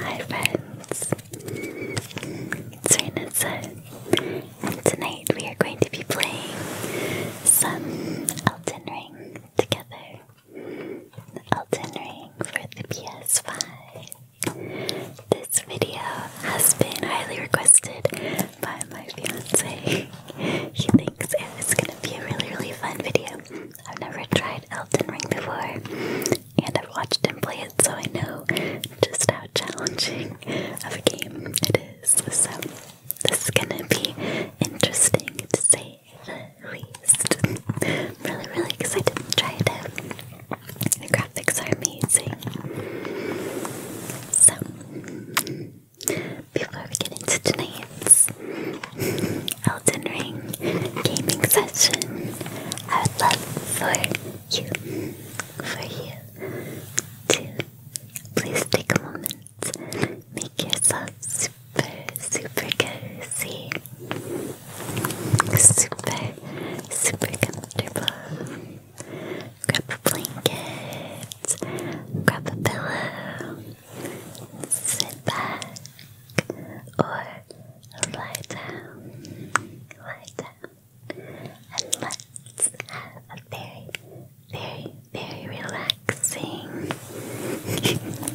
Hi friends, Serena Sun, and tonight we are going to be playing some Elden Ring together. Elden Ring for the PS5. This video has been highly requested by my fiance. he thinks it gonna be a really, really fun video. I've never tried Elton Ring before, and I've watched him play it, so I know just how challenging of a game it is. So, this is gonna be interesting to say the least. I'm really, really excited to try it out. The graphics are amazing. So, before we get into tonight's Elden Ring gaming session. I would love for you, for you, to please take a moment, make yourself super, super cozy, super, super comfortable. Grab a blanket, grab a pillow, sit back, or lie down, lie down, and let's have a very, very, very relaxing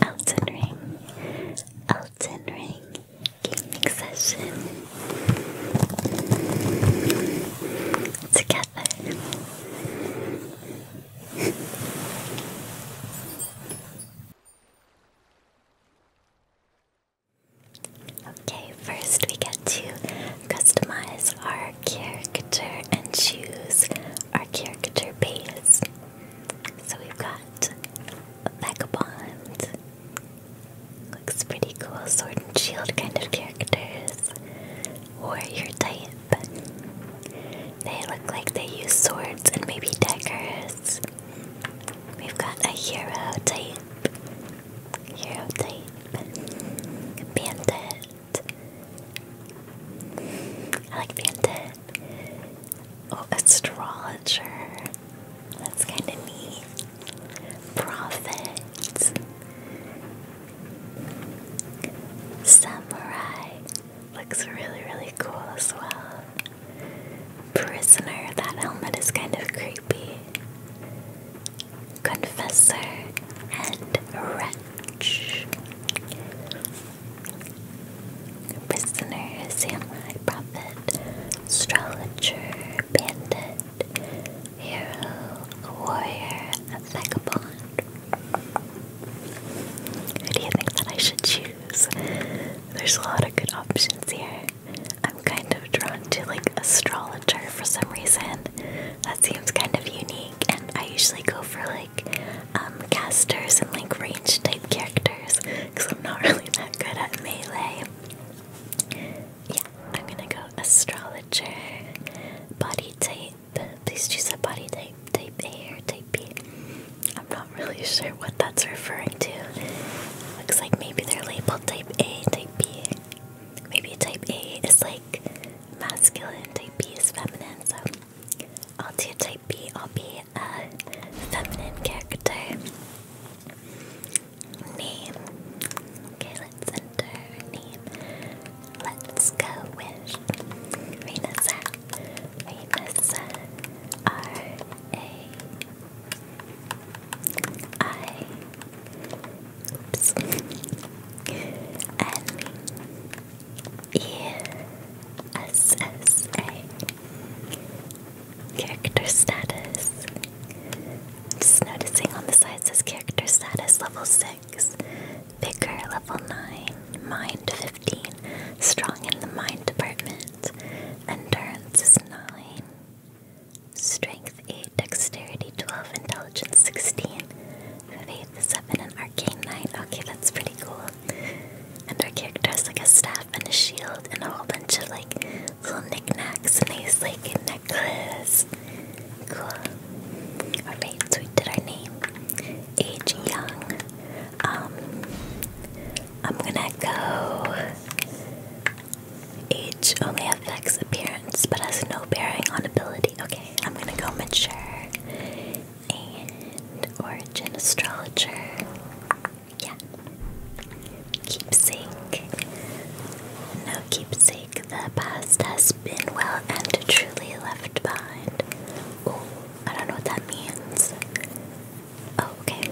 Elden Ring, Elden Ring gaming session together. Okay, first we get to customize our character and choose our character base. So we've got a vagabond. Looks pretty cool, sword and shield kind of characters. Warrior type. They look like they use swords and maybe daggers. We've got a hero type, hero type, bandit. I like bandit. Oh, astrologer. That's kind of neat. Prophet. Samurai. Looks really, really cool as well. Prisoner, that helmet is kind of creepy. Confessor and Wretch. Prisoner, Samurai Prophet, Astrologer, Bandit, Hero, Warrior, Vagabond. Who do you think that I should choose? There's a lot of good options here. I'm kind of drawn to like astrologer for some reason. That seems kind of unique, and I usually go for like um, casters and like range type characters because I'm not really that good at melee. Yeah, I'm gonna go astrologer. Body type. Please choose a body type. Type A or type B. I'm not really sure what that's referring to. Looks like maybe they're labeled type A, type B. Maybe type A is like masculine, type B is feminine, so I'll do type B, I'll be a feminine character. Name. Okay, let's enter name. Let's go with Renessa. Renessa. R A I character status. Just noticing on the side says character status level six, vigor level nine, mind fifteen, strong in the mind department. Endurance 9. Strength 8, Dexterity 12, Intelligence 16, Faith 7, and Arcane 9. Okay, that's pretty cool. And our character has like a staff and a shield and a whole bunch of like little knickknacks and he's like a necklace. Cool. Alright, so we did our name. Age young. Um I'm gonna go. Age only affects appearance but has no bearing on ability. Okay, I'm gonna go mature and origin astrologer. Yeah. Keepsake. No keepsake. The past has been well and truly left behind. Oh, I don't know what that means. Oh, okay.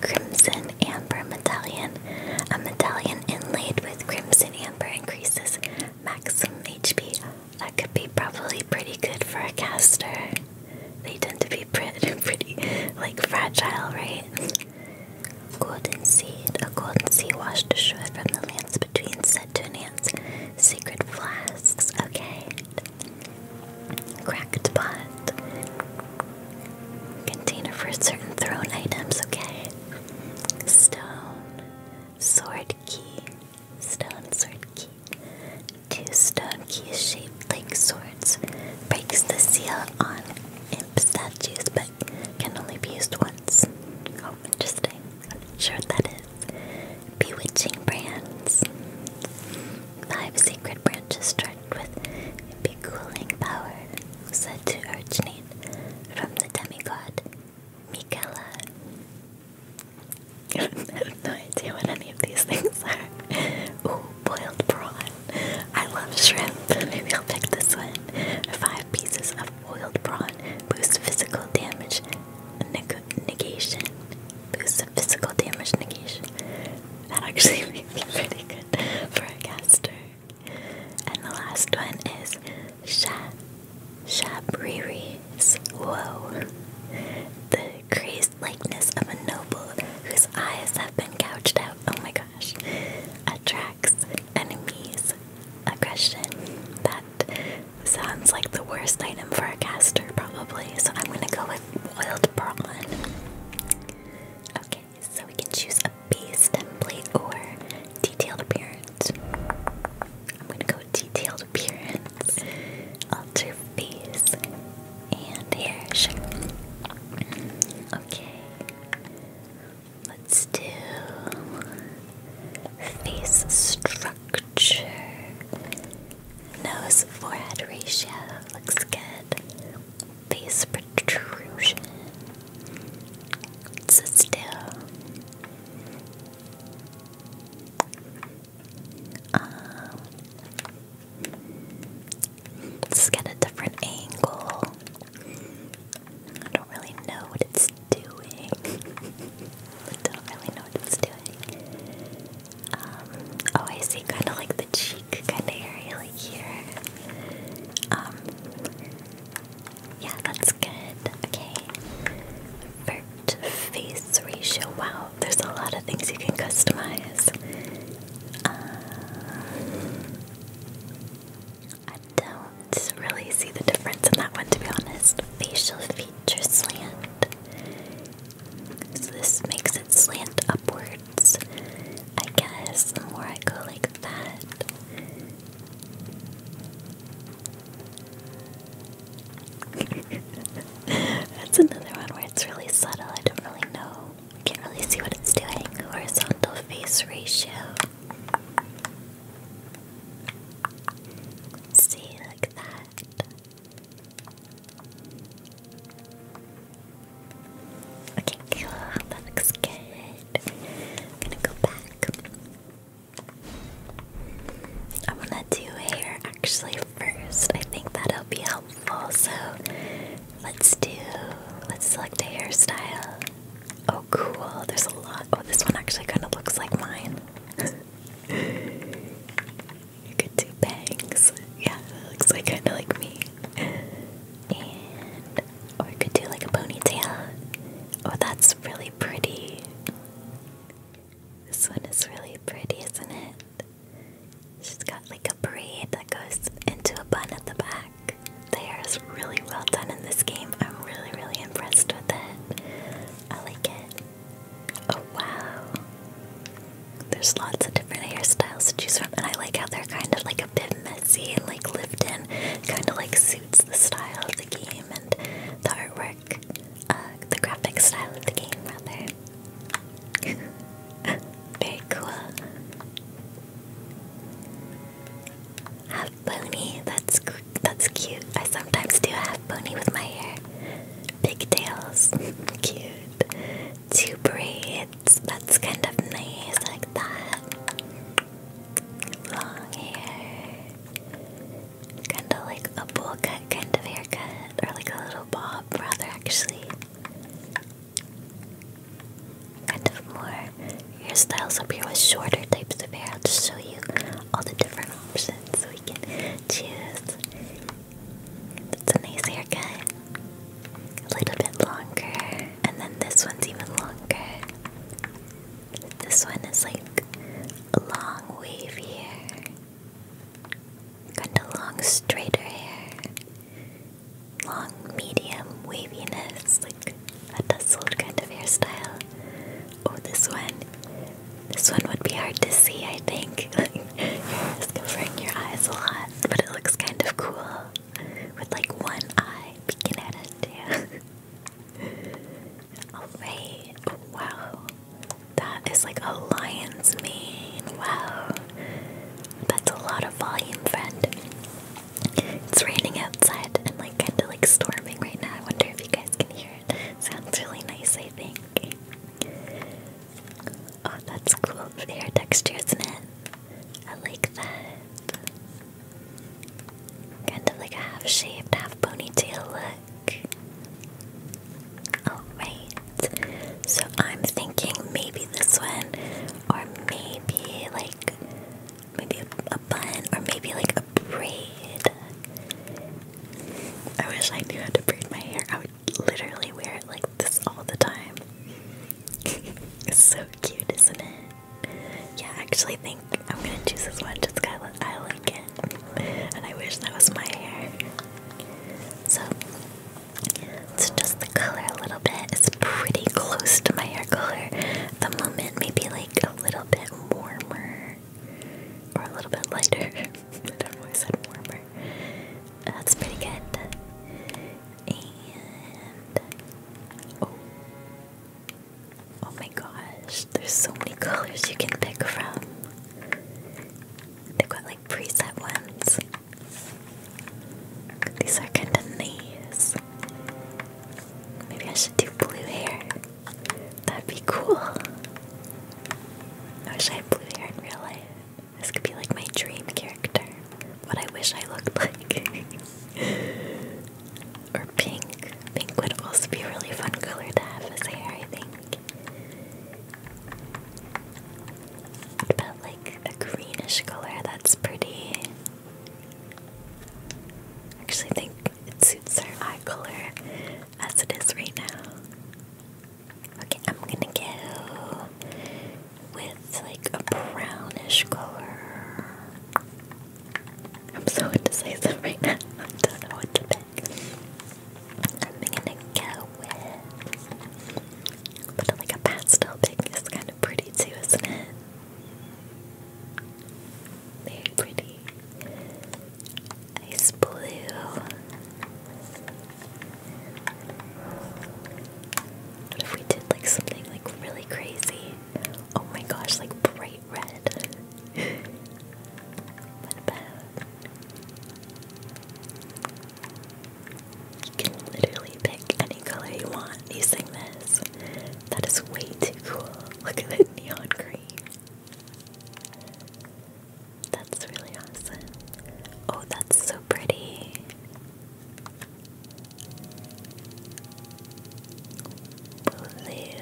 Crimson Amber Medallion. A medallion inlaid with crimson amber increases maximum HP. That could be probably pretty good for a caster. They tend to be pretty, pretty like fragile, right? Golden seed. A golden seed washed ashore from the lands between said to enhance sacred flasks. Okay. Cracked pot. Container for certain thrown items, okay? Stone. Sword key. Stone sword key. Two stone keys shaped like swords. Breaks the seal on imp statues, but can only be used once. Oh, interesting. I'm not sure what that is. Bewitching brands. Five sacred branches charged with be-cooling power, said to originate from the demigod Michaela. I have no idea what any of these things are. Ooh, boiled prawn. I love shrimp. Maybe I'll pick this one. Five pieces of boiled prawn boost physical damage negation boost physical damage negation. That actually may me pretty good for a caster. And the last one is Sha Shabriri's Woe. The crazed likeness of a noble whose eyes have been gouged out. Oh my gosh. Attracts enemies. Aggression. That sounds like the worst item for a caster, probably. So I'm gonna go with boiled prawn. Okay, so we can choose a base template or detailed appearance. I'm gonna go detailed appearance, alter face, and hair. Sure. Okay, let's do face structure. Nose forehead ratio looks good. Face protrusion. Sit um, let's get a different angle. I don't really know what it's doing. I don't really know what it's doing. Um, oh, I see, kind of like the cheek kind of area, like here. Um, yeah, that's good. Okay. Vert face ratio. Wow, there's a lot of things you can customize. Uh, I don't really see the difference in that one, to be honest. Facial features slant. So this makes it slant upwards. I guess the more I go like that. That's another one where it's really subtle. I don't really know. I can't really see what it's doing. Horizontal face ratio. see, like that. Okay, That looks good. I'm gonna go back. I wanna do hair actually first. I think that'll be helpful. So let's do let's select a hairstyle. Oh cool, there's a lot. Oh this one actually kinda looks like mine. You could do bangs. Yeah, that looks like kind of like me. And or you could do like a ponytail. Oh, that's really pretty. This one is really pretty, isn't it? She's got like a braid that goes into a bun at the back. The hair is really well done in this game. I'm really, really impressed with it. I like it. Oh wow. There's lots of different hairstyles to choose from, and I like how they're kind of like a bit messy and like lifted. Kind of like suits the style of the game and the artwork, uh, the graphic style of the game, rather. Very cool. Have pony. That's that's cute. I sometimes do have pony with my hair. Pigtails. cute two braids. That's kind of nice, like that. Long hair. Kind of like a bowl cut kind of haircut, or like a little bob, rather, actually. Kind of more hairstyles up here with shorter types of hair. I'll just show you all the different options so we can choose. That's a nice haircut. A little bit longer. And then this one's even longer. This one is like a long wavier. Kind of long, straighter hair. Long, medium waviness. Like a tousled kind of hairstyle. Oh, this one. This one would be hard to see, I think. covering it's covering your eyes a lot, but it looks kind of cool with like one eye peeking at it too. Oh, wow. That is like a lion's mane. Wow. That's a lot of volume, friend. It's raining outside and like kinda like storming right now. I wonder if you guys can hear it. Sounds really nice, I think. Oh, that's cool. The hair texture, isn't it? I like that. Kind of like a half shaved, half ponytail look. Alright. So I'm thinking maybe this one, or maybe like maybe a, bun, or maybe like a braid. I wish I knew how to braid my hair literally wear it like this all the time. it's so cute, isn't it? Yeah, I actually think I'm gonna choose this one just because I like it. And I wish that was my hair. So, it's just the color a little bit. It's pretty close to my hair color the moment. Maybe like a little bit warmer or a little bit lighter. I've always said warmer. That's pretty good. And oh, oh my gosh! There's so many colors you can pick from. They've got like preset ones. These are kind of nice. Maybe I should do blue hair. That'd be cool. I wish I had blue hair in real life. This could be like my dream character. What I wish I looked like. or pink. Pink would also be a really fun color to have as hair, I think. What about like a greenish color? That's pretty. Actually, think it suits her eye color as it is right now. Okay, I'm gonna go with like a brownish color. I'm so indecisive right now. I don't know what to I'm gonna go with, like a pastel pink is kind of pretty too, isn't it? Very pretty. Ice blue. What if we did like something like really crazy? Oh my gosh, like bright red. what about? You can literally pick any color you want using this. That is way too cool. Look at that neon green. That's really awesome. Oh, that's so pretty. Blue.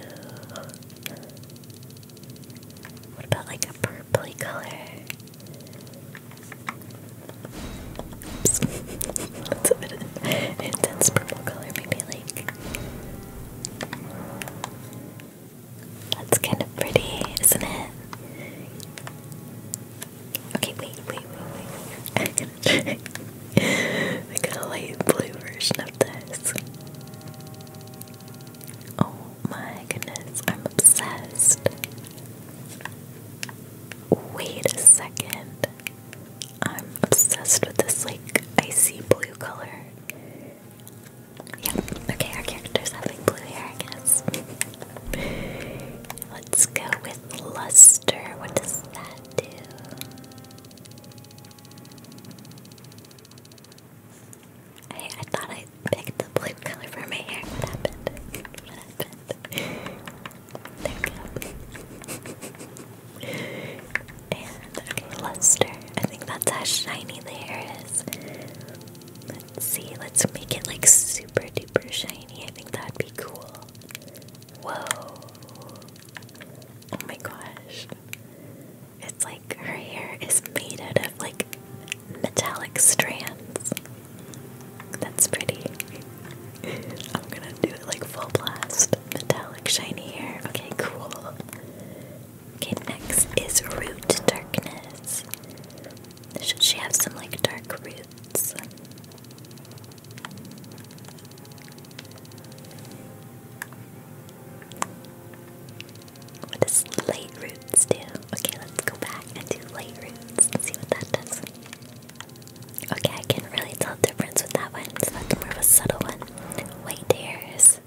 What about like a purpley color? That's a bit of an intense purple color, maybe like that's kind of pretty, isn't it? Okay, wait, wait, wait, wait. I got a light blue version of this. Oh my goodness, I'm obsessed. Wait a second. I'm obsessed with this like icy blue color. Yeah, okay, our character's having blue hair, I guess. Let's go with luster. What does that do? I, I thought I picked the blue color for my hair. What happened? What happened? There we go. and luster. I think that's how shiny the hair is. Let's see, let's make it like super duper shiny. I think that'd be cool. Whoa. Oh my gosh. It's like her hair is made out of like metallic strands. That's pretty. I'm gonna do it like full blast. Metallic shiny hair. Okay, cool. Okay, next is Root Darkness. Should she have some like dark roots? What does light roots do? Okay, let's go back and do light roots see what that does. Okay, I can really tell difference with that one, so that's more of a subtle one. White hairs.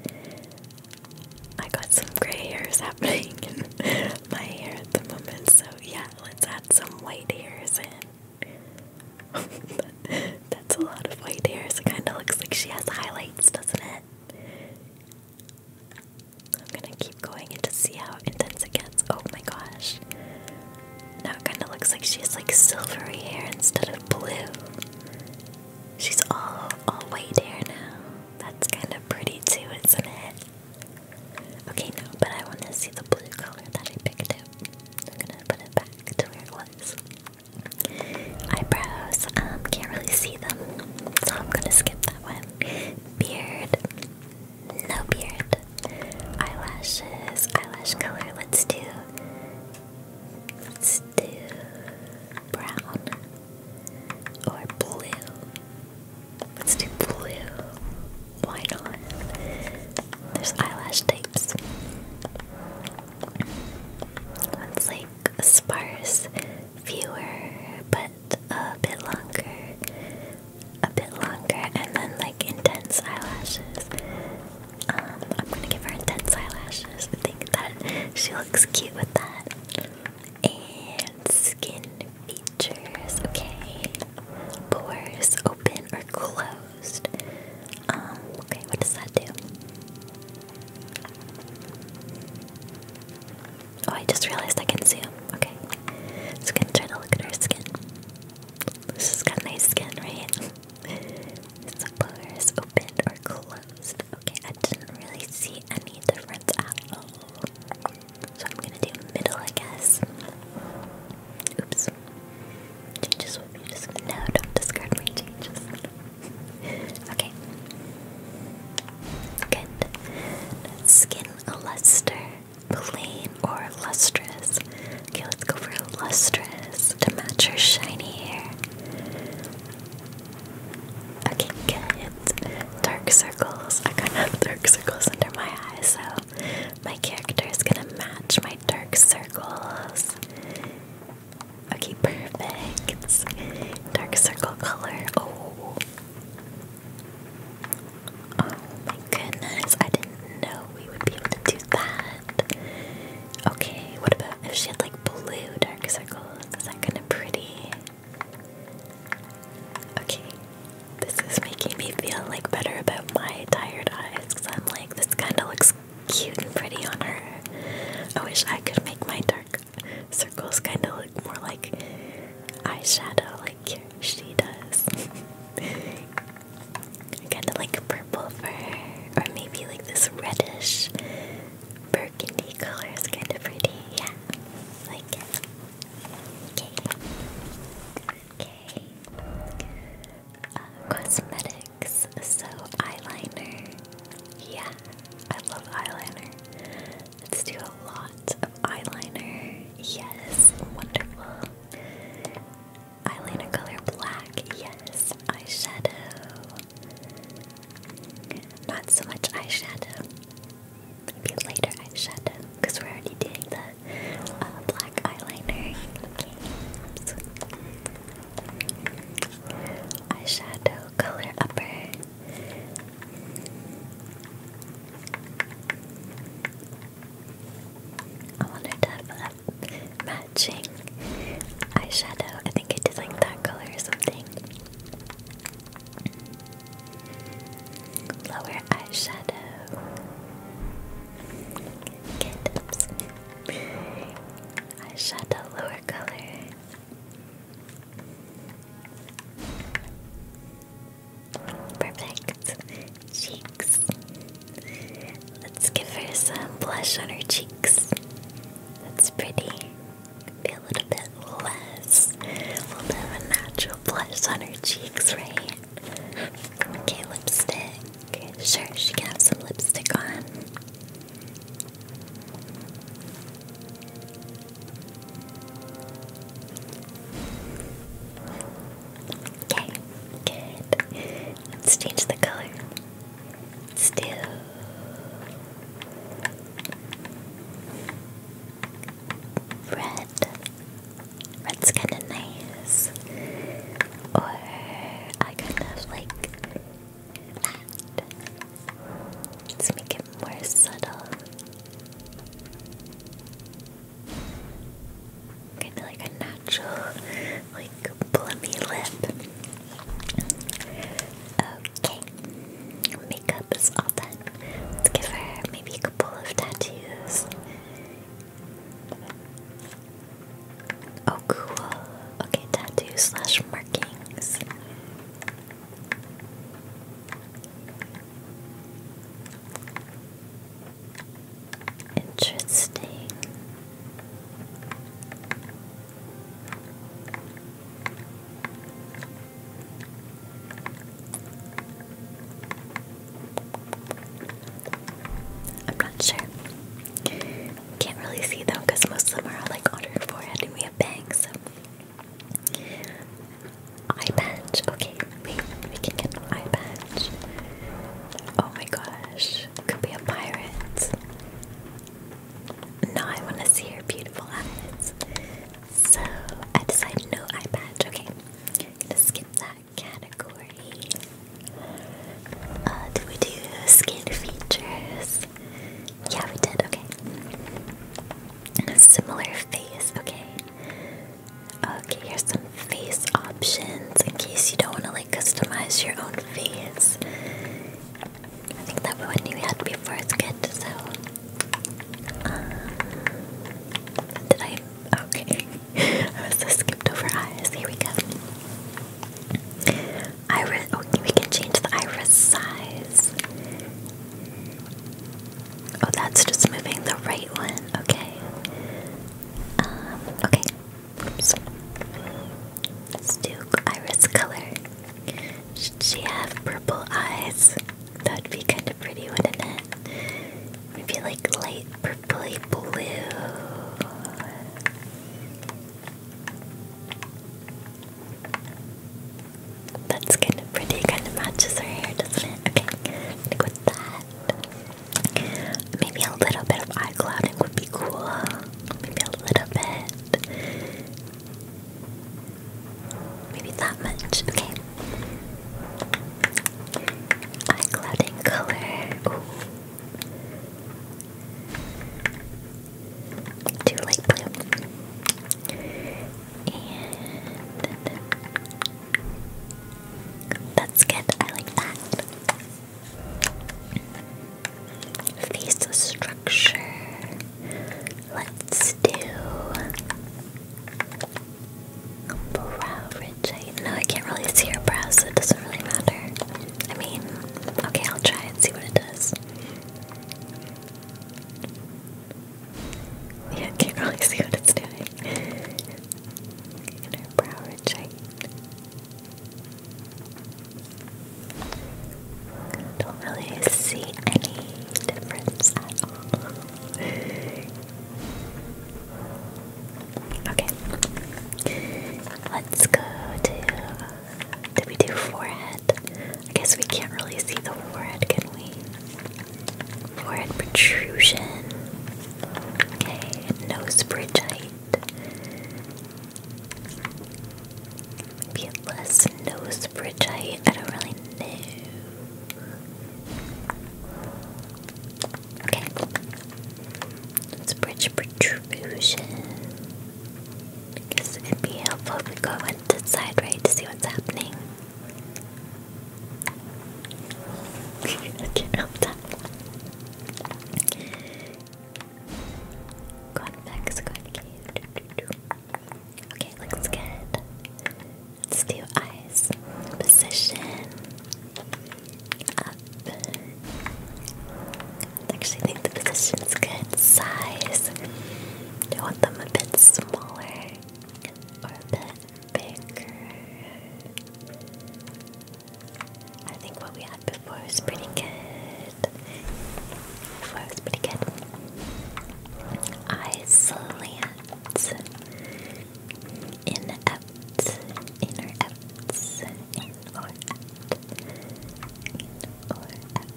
I got some gray hairs happening in my hair at the moment, so yeah, let's add some white hairs in. That's a lot of white hairs. It kind of looks like she has highlights, doesn't it? I'm gonna keep going and to see how intense it gets. Oh my gosh. Now it kind of looks like she has like silvery hair instead of blue. She's all all white hair now. That's kind of pretty too, isn't it? Okay, no, but I want to see the blue color that I picked up. I'm gonna put it back to where it was. Eyebrows, um, can't really see them, so I'm gonna skip that one. Beard, no beard. Eyelashes, eyelash color, let's do, let's do brown or blue. Let's do blue. White not? There's eyelash types. One's like sparse, fewer, but a bit longer, a bit longer, and then like intense eyelashes. Um, I'm gonna give her intense eyelashes. I think that she looks cute with that and skin features. Okay, pores open or closed. Um, okay, what does that do? Oh, I just realized I can zoom. Okay, just gonna try to look at her skin. She's got nice skin, right? so pores open or closed. Okay, I didn't really see any difference at all. So I'm gonna do middle, I guess. Oops. Changes would be just. No, don't discard my changes. okay. Good. Skin a luster, plain or lustrous. Okay, let's go for lustrous to match her shiny hair. Okay, good dark circles. I kind of have dark circles under my eyes, so my character is gonna match my dark circles. Okay, perfect. Dark circle color. Oh. Oh my goodness, I didn't know we would be able to do that. Okay, what about if she had like blue dark circles? Is that kind of pretty? Okay, this is making me feel like better about my tired eyes because I'm like, this kind of looks cute and pretty on her. I wish I could make my dark circles kind of look more like eyeshadow, like she does. kind of like purple for her, or maybe like this reddish burgundy color is kind of pretty. Yeah, like Okay. Okay. cosmetics. So eyeliner. Yeah, I love eyeliner. Let's do a lot of eyeliner. Yes, wonderful. Eyeliner color black. Yes, eyeshadow. Not so much eyeshadow maybe lighter eyeshadow because we're already doing the uh, black eyeliner. eyeshadow color upper. I wanted to have matching eyeshadow. I think I did like that color or something. Lower eyeshadow. Get eyeshadow lower color. Perfect. Cheeks. Let's give her some blush on her cheeks. That's pretty a little bit less. We'll have a natural blush on her cheeks, right? Okay, lipstick. Sure, she can have some lipstick on. Okay, good. Let's change the color. let red. Red's kind of nice. Or I kind of like that. Let's make it more subtle. Kind of like a natural, like plummy lip. Okay makeup is all done. Let's give her maybe a couple of tattoos. Oh, cool. Okay, tattoo slash markings. Interesting. I'm not sure. Can't really see them because most of them are like on her forehead and we have bangs. So. Okay, we we can get an eye Oh my gosh, could be a pirate. No, want to see her beautiful eyes. So I decided no eye patch. Okay, I'm skip that category. Uh, did we do skin features? Yeah, we did. Okay. A similar face. Okay. Okay, here's some face options in case you don't want to like customize your own face. I think that one you had before is good, so did I? Okay. I was just skipped over eyes. Here we go. Iris. Oh, we can change the iris size. Oh, that's just moving the right one. Okay. Um, okay. Oops. Let's do iris color she have purple eyes? That would be kind of pretty, wouldn't it? Maybe like light purpley blue. That's kind of pretty, kind of matches her hair, doesn't it? Okay, with that. Maybe a little bit of eye clouding would be cool. Maybe a little bit. Maybe that much. Okay. Eye clouding color. Ooh. Too light blue. And that's good. I like that. Face structure. Let's do Brow ridge No, I can't really see your brows, it doesn't really matter. I mean, okay, I'll try and see what it does. Yeah, can't really see what it's doing. brow ridge Don't really see any difference at all. Okay. Let's go to. Did we do forehead? I guess we can't really see the forehead, can we? Forehead protrusion. Okay, nose bridge height. Maybe less nose bridge height. I don't really know. Okay. Let's bridge protrusion. I it be helpful if we go on side, right, to see what's happening. I can't help that. Convex concave. Okay, looks good. Let's do eyes. Position. Up. I actually think the position is good. Size. I want them a bit smaller or a bit bigger. I think what we had before was pretty good. Before was pretty good. Eyes slant. Ats, in Ats, inner Ats, in or at, in or at,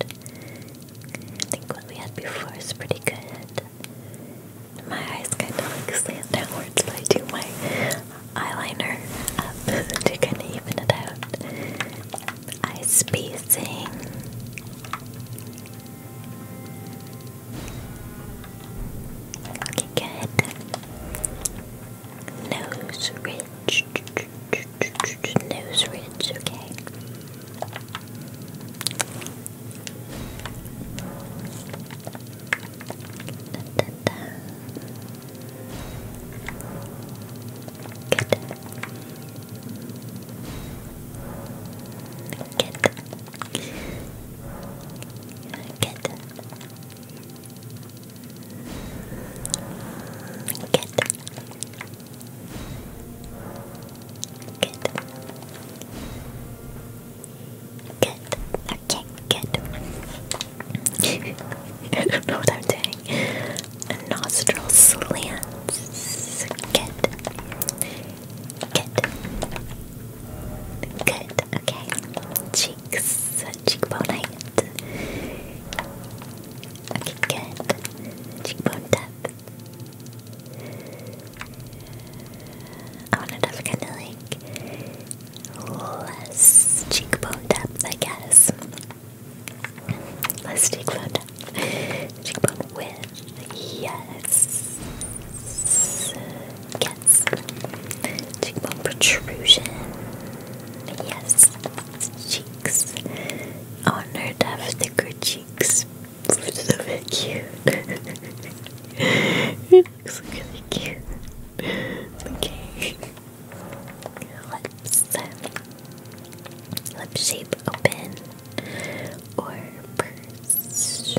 I think what we had before is pretty good. My eyes kind of like slant downwards, but I do my eyeliner up to kind of even it out. Eye spacing. Okay, good. Nose ridge. Nose ridge, okay. Good. Get. Get. Get. Get. Get. Okay, good. I don't know what I'm doing nostril slants. Good. Good. Good. Okay. Cheeks. Cheekbone height. Okay, good. Cheekbone depth. I want it to kind of like less cheekbone depth, I guess. Less cheekbone depth with. Cheekbone with. Yes. Yes. Cheekbone protrusion. Yes. Cheeks. Oh, no, to have thicker cheeks. It's so very cute. it looks really cute. Okay. Lips. Lip shape open or purse.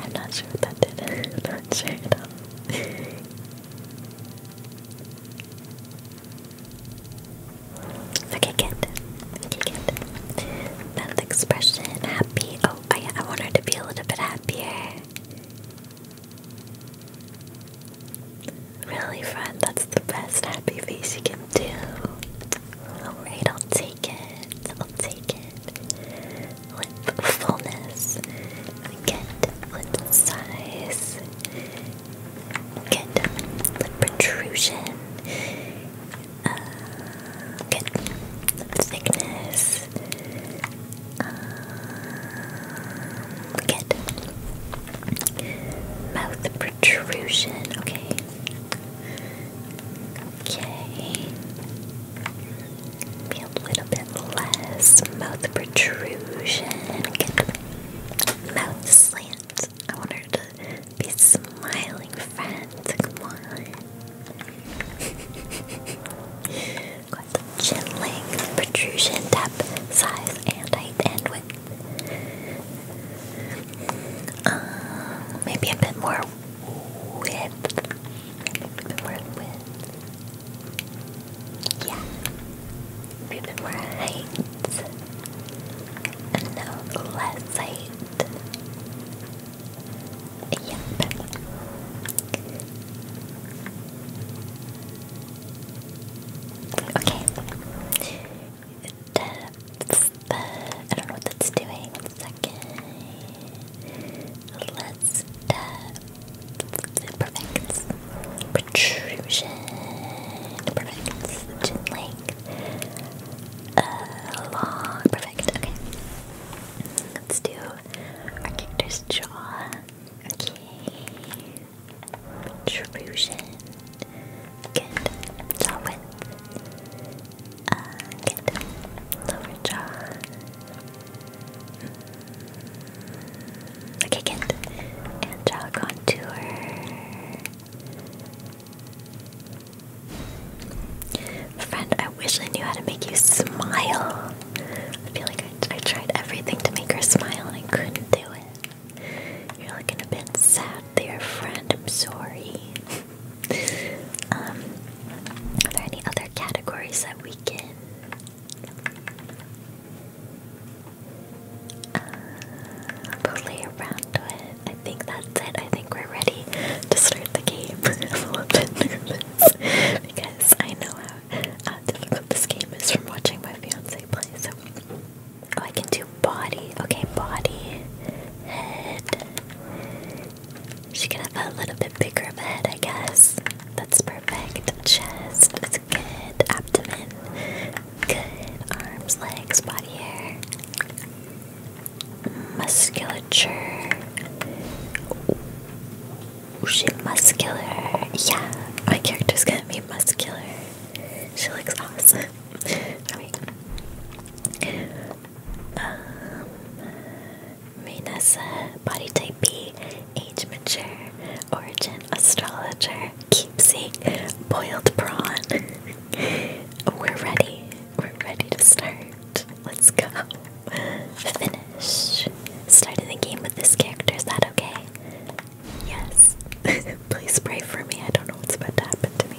I'm not sure what that did. i not sure Okay, good. Okay, good. That expression, happy. Oh, I, I want her to be a little bit happier. Really fun. That's the best happy face you can do. Alright, I'll take it. I'll take it. With fullness. Get lip size. Get lip protrusion. Uh, get lip thickness. Uh, Look at mouth protrusion. Okay. Okay. Be a little bit less mouth protrusion. Good. Mouth slant. I want her to be smiling, friends. Come on. Got the chin length, protrusion, depth, size, and height, and width. Um, maybe a bit more width. Yeah. a bit more height. And no, less height. Yep. Okay. That's the, I don't know what that's doing. One second. Let's tap. Uh, protrusion. Perfect. Chin length. Uh, long. Perfect. Okay. Let's do our character's jaw. Okay. Intrusion. Good. Solid. Uh, Lower jaw. Okay, good. And jaw contour. Friend, I wish I knew how to make you smile. I feel like I tried everything to make her smile and I couldn't do it. You're looking a bit sad there, friend. I'm sorry. Um, are there any other categories that we can? Uh, play around with. I think that's it. I think we're ready to start the game. because I know how, how difficult this game is from watching my fiance play. So Oh, I can do body. Okay, body, head. She can have a little bit bigger of a head, I guess. That's perfect. Chest, that's good. Abdomen, good. Arms, legs, body hair. Musculature. Ooh, she muscular. Yeah, my character's gonna be muscular. She looks awesome. Um, Minasa, body type age mature, origin astrologer, keepsake, boiled prawn. We're ready. We're ready to start. Let's go. Finish. Started the game with this character, is okay? Yes. Please pray for me. I don't know what's about to happen to me.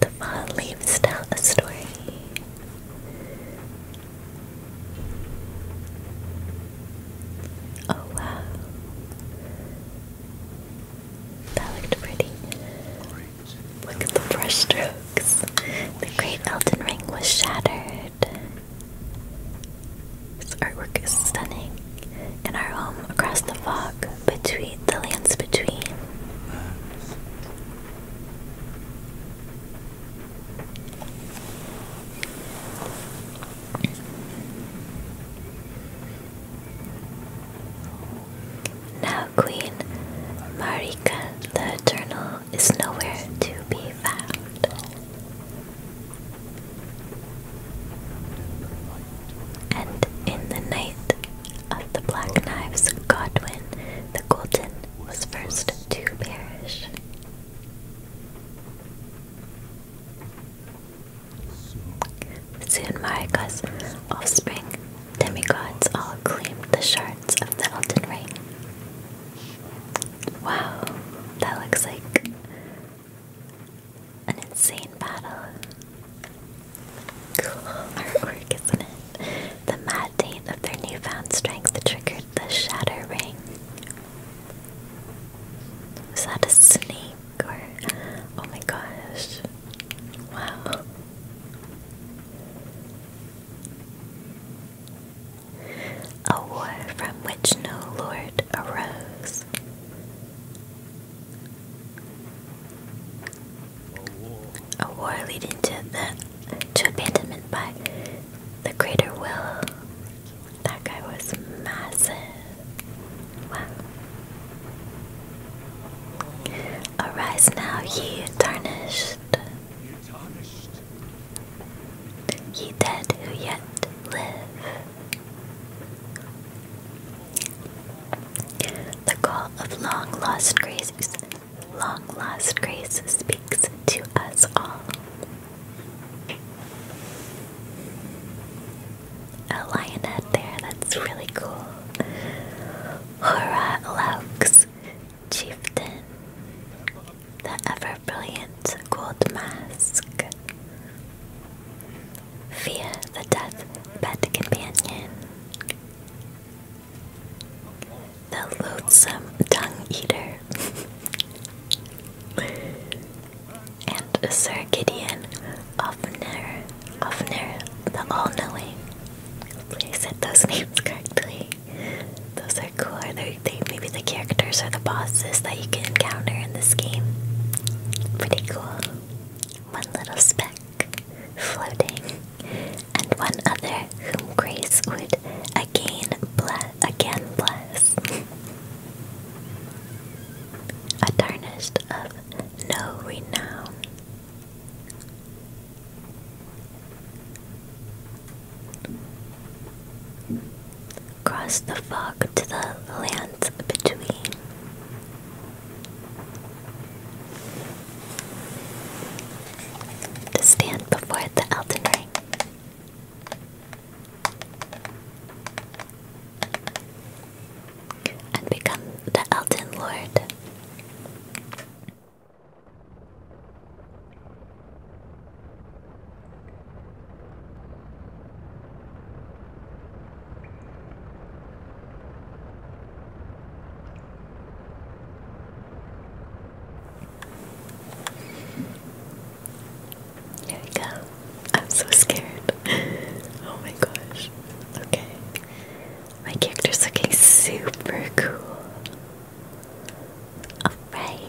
the fall leaves tell a story. Oh wow. That looked pretty. Look at the brush strokes. The great Elden Ring was shattered. This artwork is stunning. In our home across the fog, between the lands between. Now Queen Marika the Eternal is nowhere to be found. And in the night of the Black Knives, Godwin the Golden was first to perish. Soon Marika's offspring, demigods, all claimed the shards of the Elden Ring. Wow, that looks like an insane battle. Cool artwork, isn't it? The mad taint of their newfound strength triggered the Shatter Ring. Was that a snake? or oh my gosh. Wow. A war from which no lord arose. A war leading to the to abandonment by the greater will that guy was massive. Arise now, ye tarnished. Ye dead who yet live. The call of long lost graces, long lost grace speaks to us all. A lionette there, that's really cool. Hora Chieftain, the ever brilliant gold mask. Fia, the deathbed companion. The loathsome tongue eater. and Sir Gideon Ofner, Ofner the All-Knowing. Please I said those names correctly. Those are cool. Are they, maybe the characters or the bosses that you can encounter in this game? Pretty cool. One little speck floating, and one other whom grace would Again bless. a tarnist of no renown. Cross the fog to the lands between. To stand before the Elden Ring and become the Elden Lord. Here we go. I'm so scared. oh my gosh. Okay. My character's looking super cool. Alright.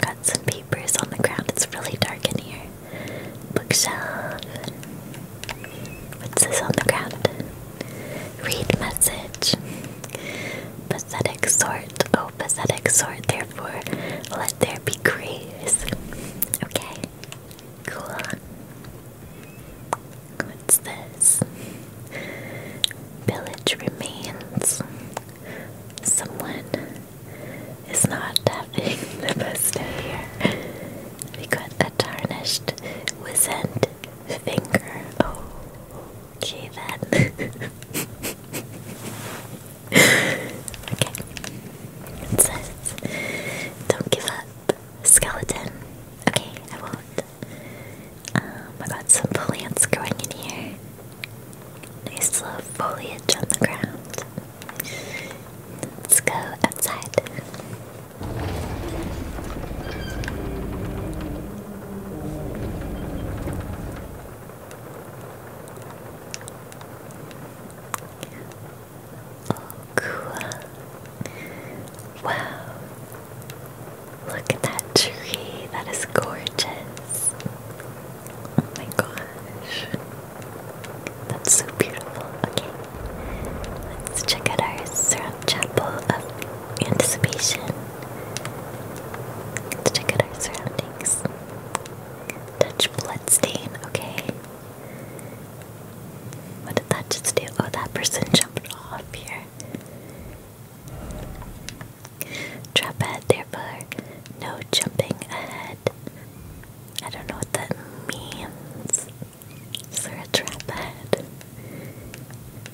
got some papers on the ground. It's really dark in here. Bookshelf. What's this on the ground? Read message. Pathetic sort. Oh, pathetic sort. There for Let There Be Craze. Okay, cool. What's this? Village remains. Someone is not having the best here. We got a tarnished, wizened finger. Oh, okay then. okay. It says, don't give up, skeleton. Okay, I won't. Um, I got some plants growing in here. Nice little foliage on the ground. Let's go outside. Oh, cool. Wow. Look at that tree. That is gorgeous. Oh my gosh. That's so beautiful. Okay. Let's check out our Syrup Chapel of Anticipation. Let's check out our surroundings. Touch bloodstain, okay. What did that just do? Oh, that person jumped off here. Trap ahead there, but no jumping ahead. I don't know what that means. Is there a trap ahead?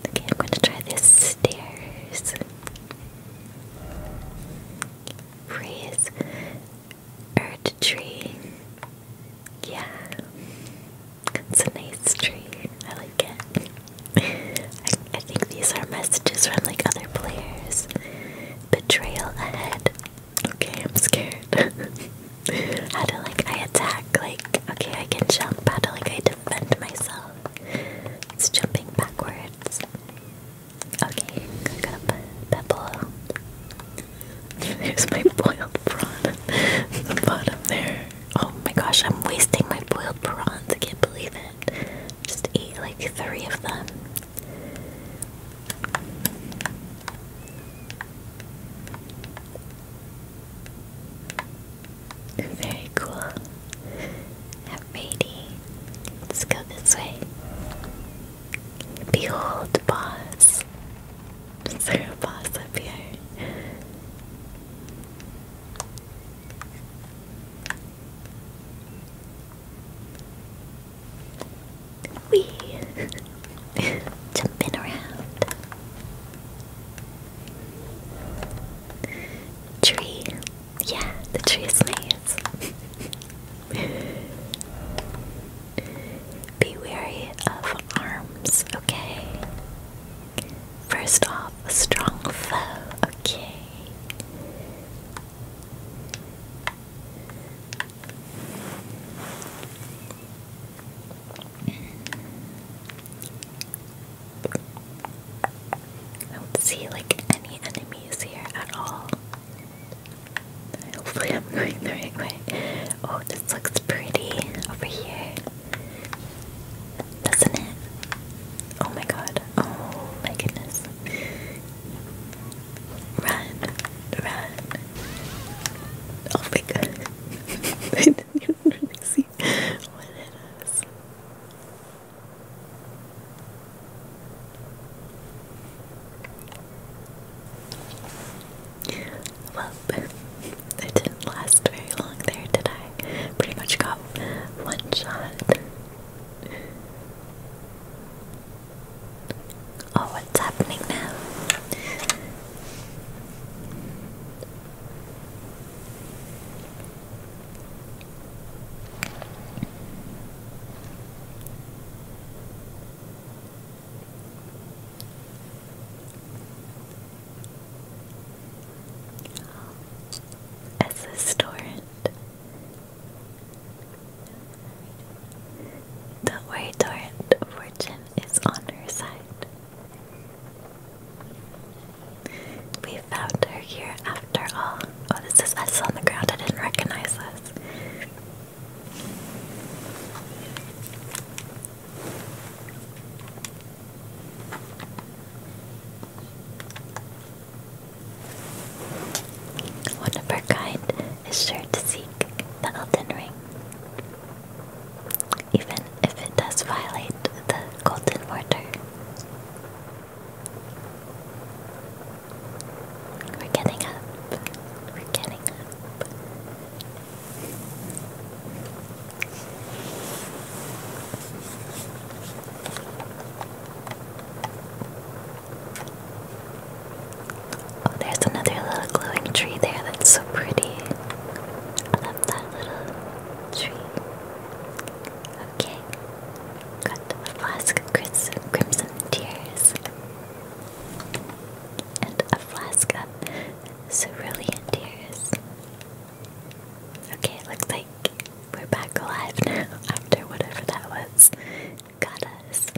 Okay, I'm going to try this stairs. Raise Earth tree. Yeah. It's a nice tree. I like it. I, think these are messages from like other players. Betrayal ahead. Okay, I'm scared. how do like I attack? Like, okay, I can jump. How do like I defend myself? It's jumping backwards. Okay, I am gonna put boil. There's my boiled prawn the bottom there. Oh my gosh, I'm wasting my boiled prawns. I can't believe it. Just ate like three of them. Very cool. Alrighty, let's go this way. Behold, boss. Is boss up here? Wee! Jumping around. Tree. Yeah, the tree is nice. Be wary of arms, okay? First off, a strong foe, okay? I don't see like any enemies here at all. Hopefully I'm going the right way. Oh, this looks pretty over here. Doesn't it? Oh my god. Oh my goodness. Run. Run. Oh my god. I didn't even really see what it is. Well, it didn't last very long there, did I? Pretty much got one shot. Oh, what's happening now? As a storant. Don't worry, Torrent, fortune is on her side. We found her here after all. Oh, this is us on the ground. I didn't recognize us. One of our kind is sure to seek the Elden Ring, even if it does violate the Golden Mortar. We're getting up. We're getting up. Oh, there's another little glowing tree there that's so pretty. I love that little tree. Okay, got the flask of crimson tears and a flask of cerulean tears. Okay, it looks like we're back alive now after whatever that was got us.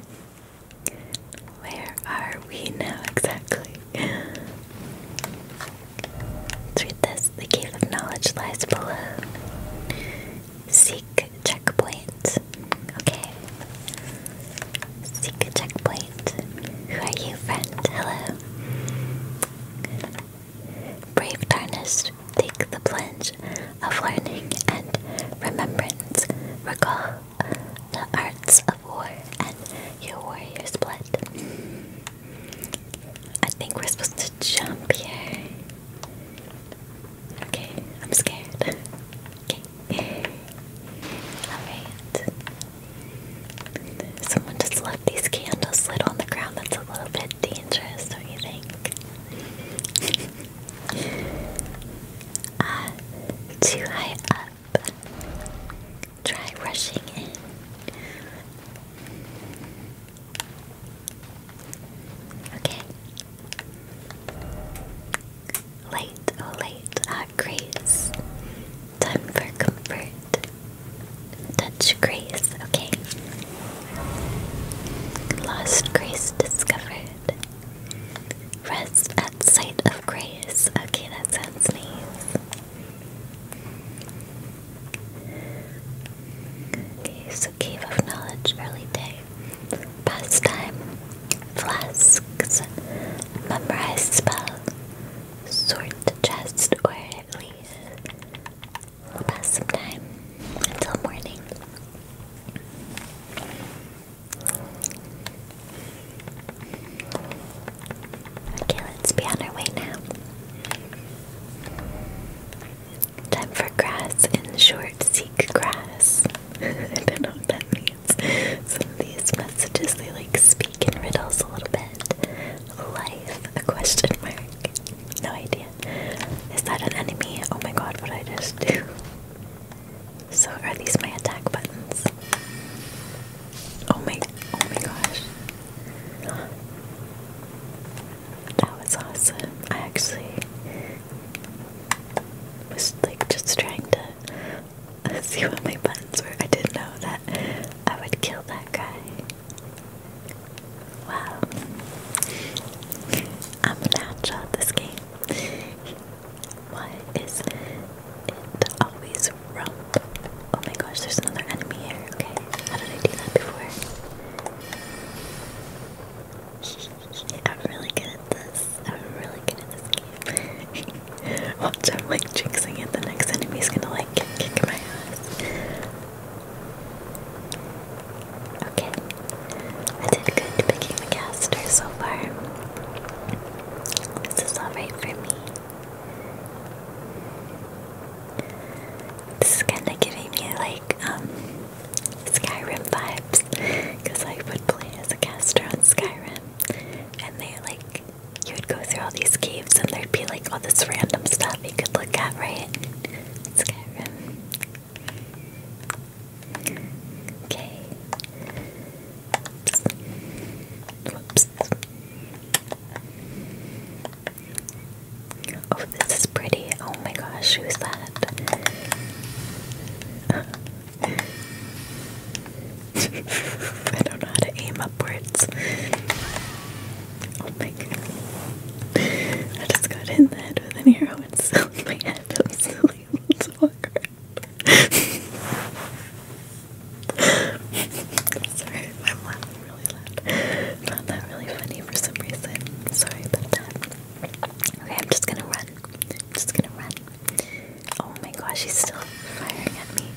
Where are we now exactly? Let's read this. The cave of knowledge lies below. Seek checkpoint. Okay. Seek a checkpoint. Who are you, friend? Hello. Brave Tarnished, take the plunge of learning and remembrance. Recall the arts of war and your warrior's blood. I think we're supposed to jump here. Okay, I'm scared. okay. Alright. Someone just left these candles lit on the ground. That's a little bit dangerous, don't you think? Uh, too high up. Try rushing in. Okay, Light, oh light, ah, grace. Time for comfort. Touch grace, okay. Lost grace discovered. Rest at sight of grace. Okay, that sounds nice. Okay, so Cave of Knowledge, early day pastime, flasks, memorize spell, sort the chest, or at least we pass some time until morning. Okay, let's be on our way now. Time for grass and short word seek grass. I don't know what that means. Some of these messages they like speak in riddles a little bit. Life, a question mark. No idea. Is that an enemy? Oh my god, what I just do. So are these my attack buttons? Oh my oh my gosh. That was awesome. I actually was like just trying to see what my buttons were. I didn't know that I would kill that guy. Wow. I'm a natural at this game. Why is it always rump? Oh my gosh, there's another enemy here. Okay, how did I do that before? I'm really good at this. I'm really good at this Watch, out, like jinxing it. The next enemy's gonna like kick, my ass. Okay. I did good picking the caster so far. This is alright for me. This is kinda giving me like, um, Skyrim vibes because I would play as a caster on Skyrim and they like you would go through all these caves and there'd be like all this random stuff you could look at, right? Skyrim. Okay. Oh, this is pretty. Oh my gosh, who's that? I don't know how to aim upwards. Oh my god. I just got in the head with an arrow and still my head. I'm still sorry I'm laughing really loud. found that really funny for some reason. Sorry about Okay, I'm just gonna run just gonna run. Oh my gosh, he's still firing at me.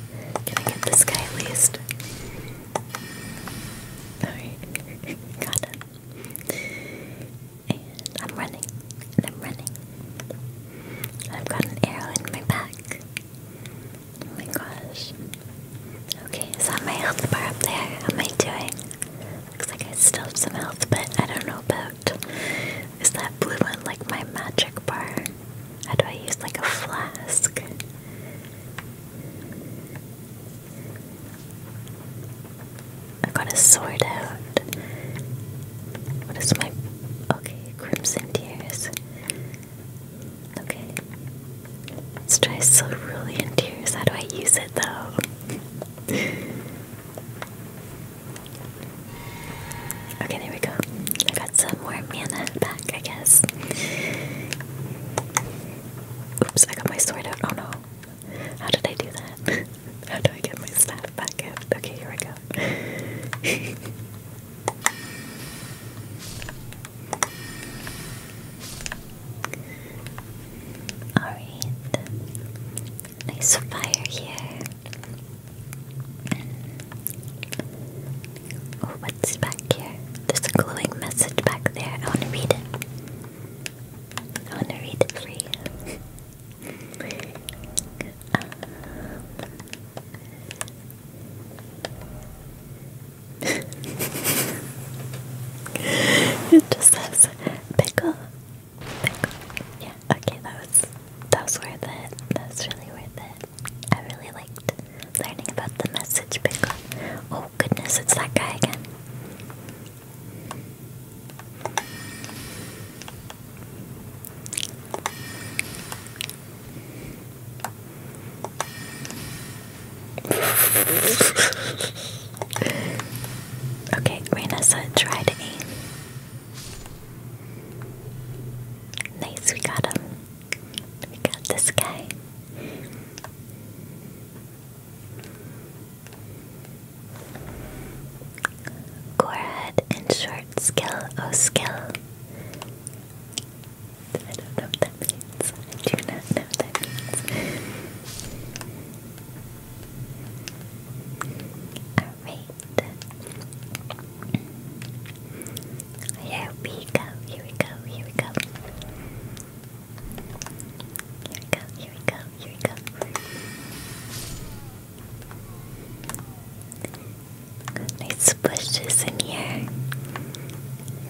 Can I get this guy at least? Alright, got him. And I'm running, and I'm running. I've got an arrow in my back. Oh my gosh. Okay, is that my health bar up there? How am I doing? Looks like I still have some health, but I don't know about. Is that blue one like my magic bar? How do I use like a flask? I have got a sword out. What is my. Okay, Crimson Tears. Okay. Let's try Cerulean Tears. How do I use it though? Okay, there we go. I got some more mana back, I guess. Oops, I got my sword out. Oh no. How did I do that? How do I get my staff back out? Okay, here we go. Alright. Nice fire here. Oh, what's back here? There's a glowing message back there. I want to read it. I want to read it for it just says pickle yeah, okay, that was that was worth it. That really worth it. I really liked learning about the message pickup. Oh goodness, it's that guy again. Okay, Rena said try to aim. Nice, we got him. We got this guy. Gorad and short skill, oh skill. I don't know that means. I do not know that means. Alright. Here we go, here we go, here we go. Here we go, here we go, here we go. nice bushes in here.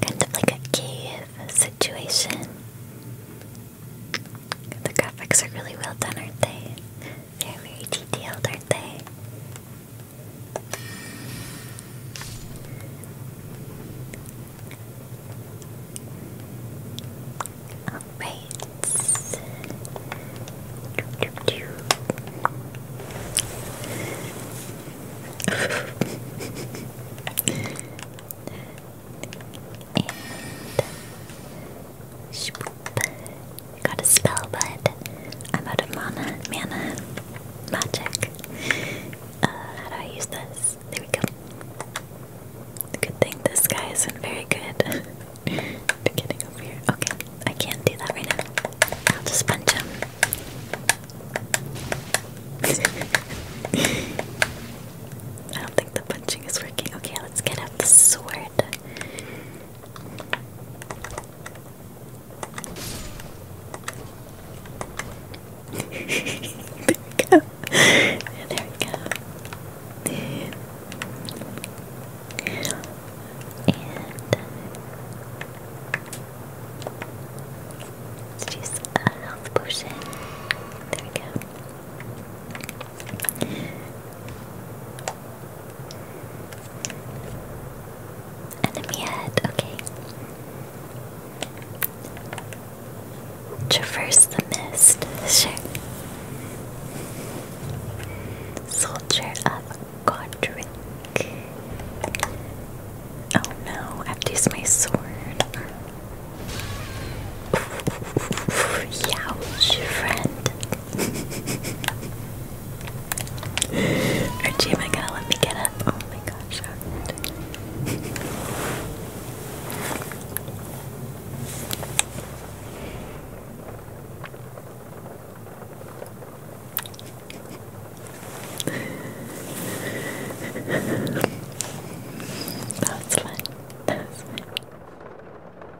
Kind of like a cave situation. The graphics are really well done, aren't they? They're very detailed, aren't they? Alright. And Shpoop. Got a spell, but I'm out of mana, mana, magic. Uh, how do I use this? There we go. Good thing this guy isn't very good getting over here. Okay, I can't do that right now. I'll just punch him. I don't think the punching is working. Okay, let's get out the sword. there we go. there we go. let's uh, use a health potion. There we go. Enemy head, okay. Traverse the mist, Soldier of Godric. Oh no, i my sword. Youch, friend. Archie, my god, let me get up. Oh my gosh. that was fun. That was fun.